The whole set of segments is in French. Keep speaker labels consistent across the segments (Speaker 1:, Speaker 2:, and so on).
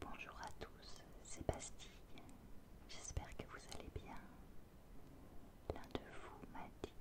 Speaker 1: Bonjour à tous, c'est Bastille. J'espère que vous allez bien. L'un de vous m'a dit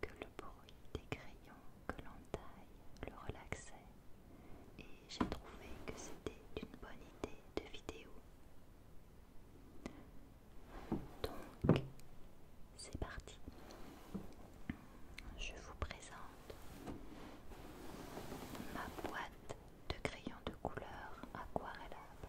Speaker 1: que le bruit des crayons que l'on taille le relaxait et j'ai trouvé que c'était une bonne idée de vidéo. Donc, c'est parti. Je vous présente Ma boîte de crayons de couleur aquarellable.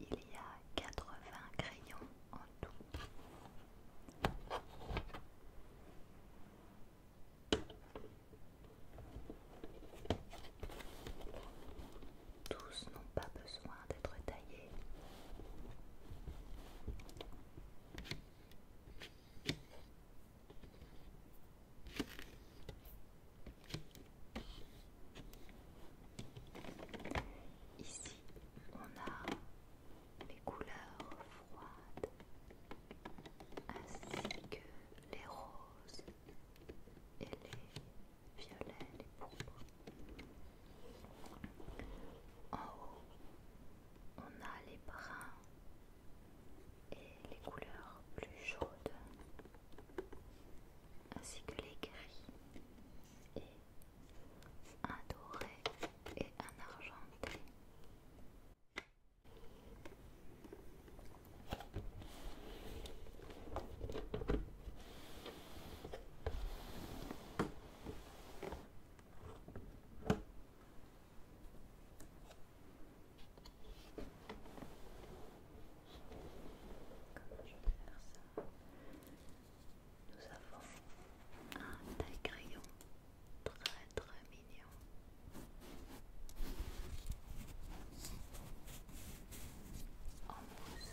Speaker 1: Il y a 80 crayons en tout. Tous n'ont pas besoin d'être taillés. Ici, on a les couleurs froides ainsi que les roses et les violets, les pourpres on a les bruns et les couleurs plus chaudes, ainsi que les gris et un doré et un argenté. Comment je vais faire ça Nous avons un taille crayon très très mignon. En mousse.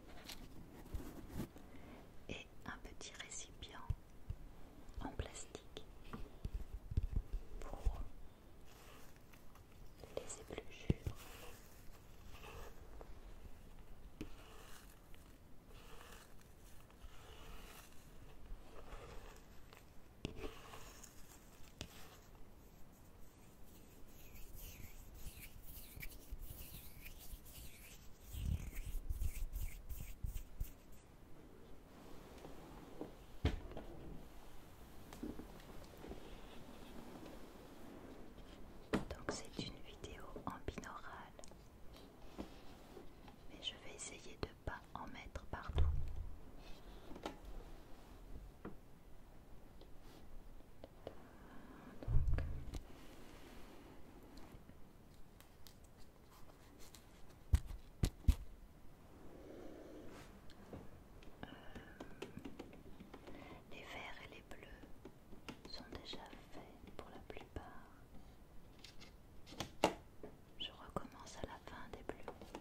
Speaker 1: et un petit récipient en plastique pour les épluchures. Donc c'est une vidéo en binaural, mais je vais essayer de ne pas en mettre partout. Euh, les verts et les bleus sont déjà faits pour la plupart. Je recommence à la fin des bleus.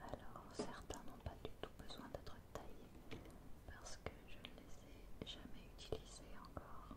Speaker 1: Alors certains n'ont pas du tout besoin d'être taillés parce que je ne les ai jamais utilisés encore.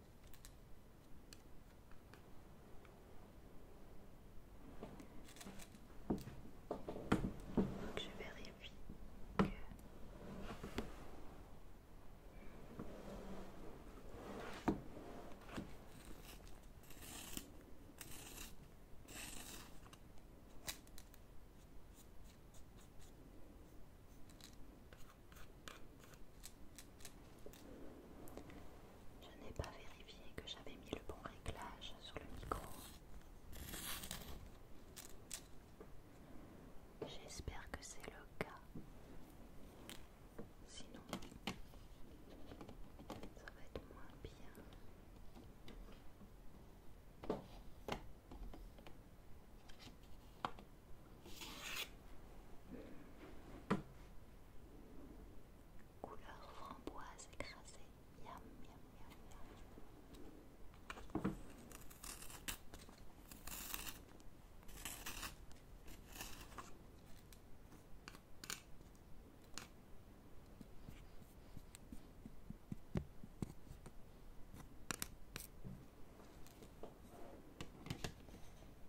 Speaker 1: je vérifie que... Je n'ai pas vérifié que j'avais mis le bon réglage sur le micro. J'espère que c'est le cas. Sinon, ça va être moins bien. Couleur framboise écrasée. Miam, miam, miam, miam.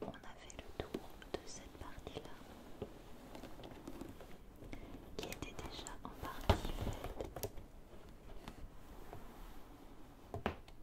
Speaker 1: Bon, on a fait le tour de cette partie-là qui était déjà en partie faite.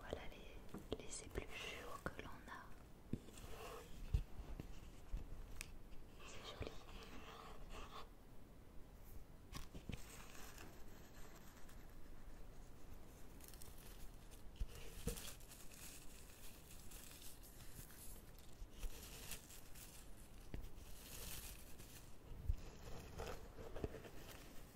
Speaker 1: Voilà les, les épluchures que l'on a. C'est joli.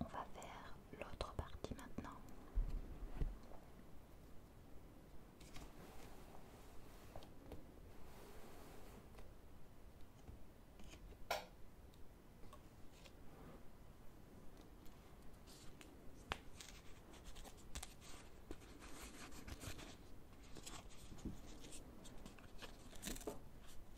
Speaker 1: On va faire l'autre partie maintenant.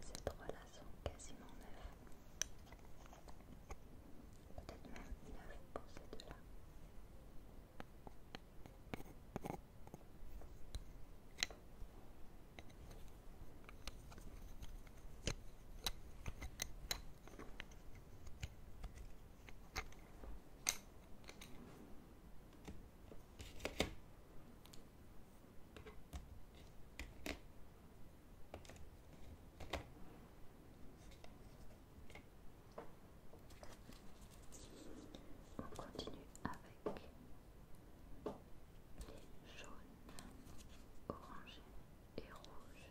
Speaker 1: Ces trois-là sont quasiment neufs. Peut-être même neufs pour ces deux-là. On continue avec les jaunes, orangés et rouges.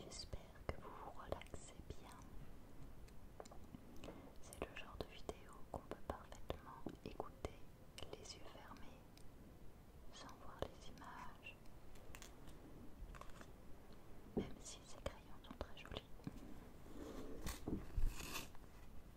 Speaker 1: J'espère que vous vous relaxez bien. C'est le genre de vidéo qu'on peut parfaitement écouter les yeux fermés sans voir les images. Même si ces crayons sont très jolis. Là,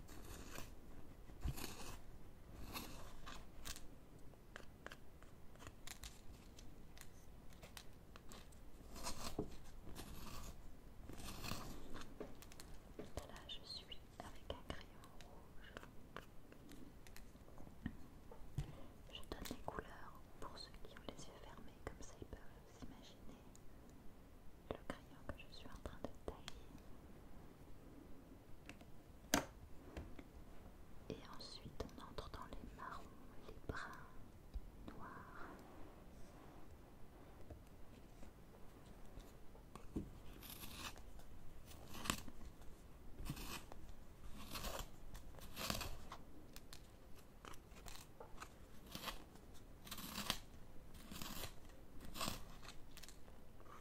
Speaker 1: je suis avec un crayon rouge. Je donne les couleurs pour ceux qui ont les yeux fermés, comme ça ils peuvent s'imaginer le crayon que je suis en train de tailler. Et ensuite on entre dans les marrons, les bruns, noirs.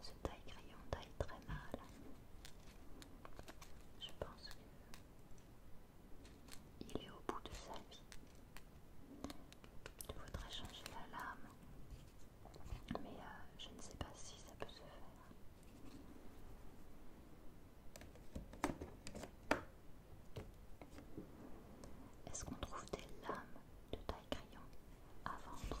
Speaker 1: Ce taille-crayon taille très mal. Je pense qu'il est au bout de sa vie. Il faudrait changer la lame. Mais euh, je ne sais pas si ça peut se faire. Est-ce qu'on trouve des lames de taille crayon à vendre.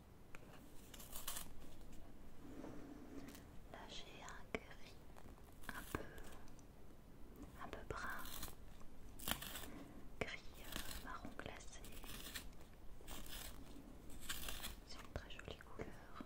Speaker 1: Là j'ai un gris un peu un peu brun, gris euh, marron glacé. C'est une très jolie couleur.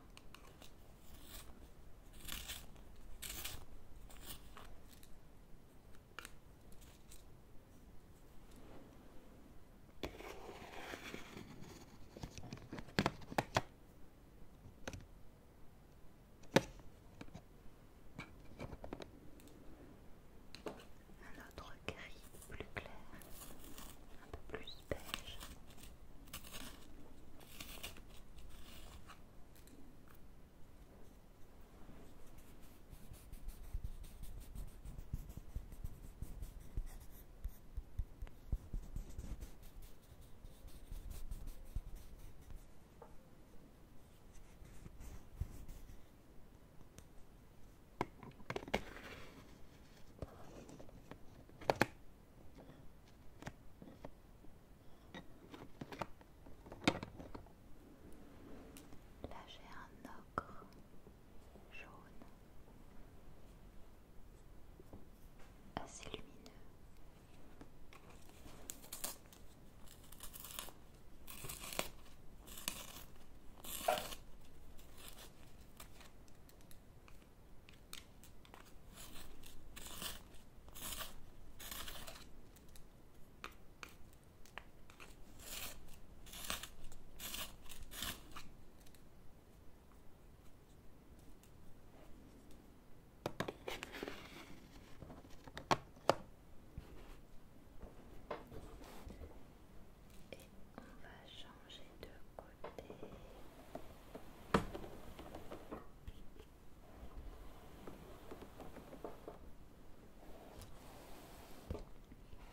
Speaker 1: Un autre gris plus clair, un peu plus beige. Là j'ai un ocre jaune, assez lumineux. Et on va changer de côté.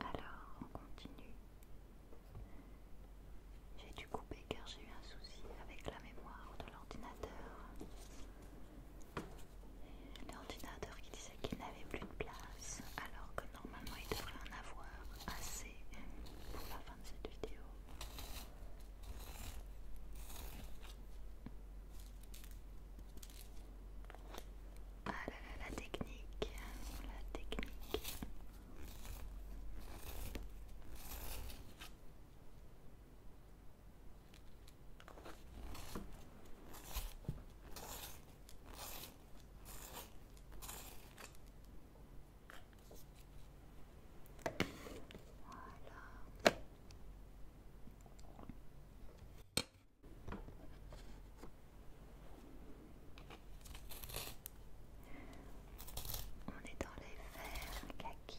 Speaker 1: Alors, on continue. J'ai dû couper car j'ai eu un souci avec la mémoire de l'ordinateur. L'ordinateur qui disait qu'il n'avait plus de place, alors que normalement il devrait en avoir assez pour la fin de cette vidéo. Ah là là, la technique, la technique. Voilà. On est dans les verres, kaki.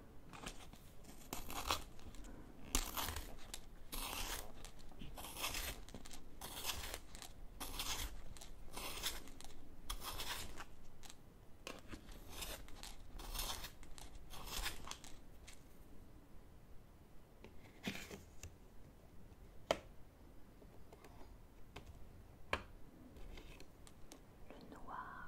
Speaker 1: Le noir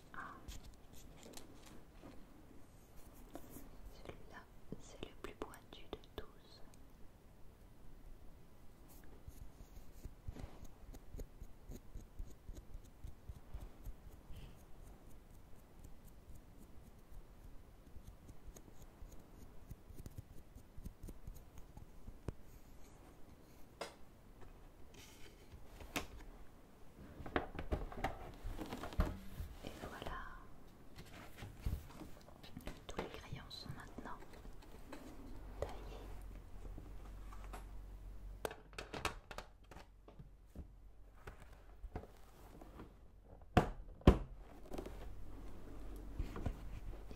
Speaker 1: Celui-là, c'est le plus pointu de tous. Et voilà, tous les crayons sont maintenant taillés.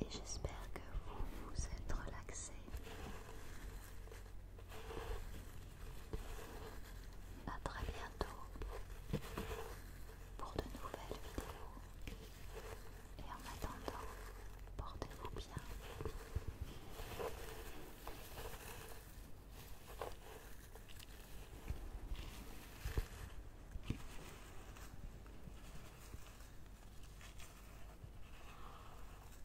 Speaker 1: Et j'espère que vous vous êtes relaxés. À très bientôt pour de nouvelles vidéos. Et en attendant, portez-vous bien.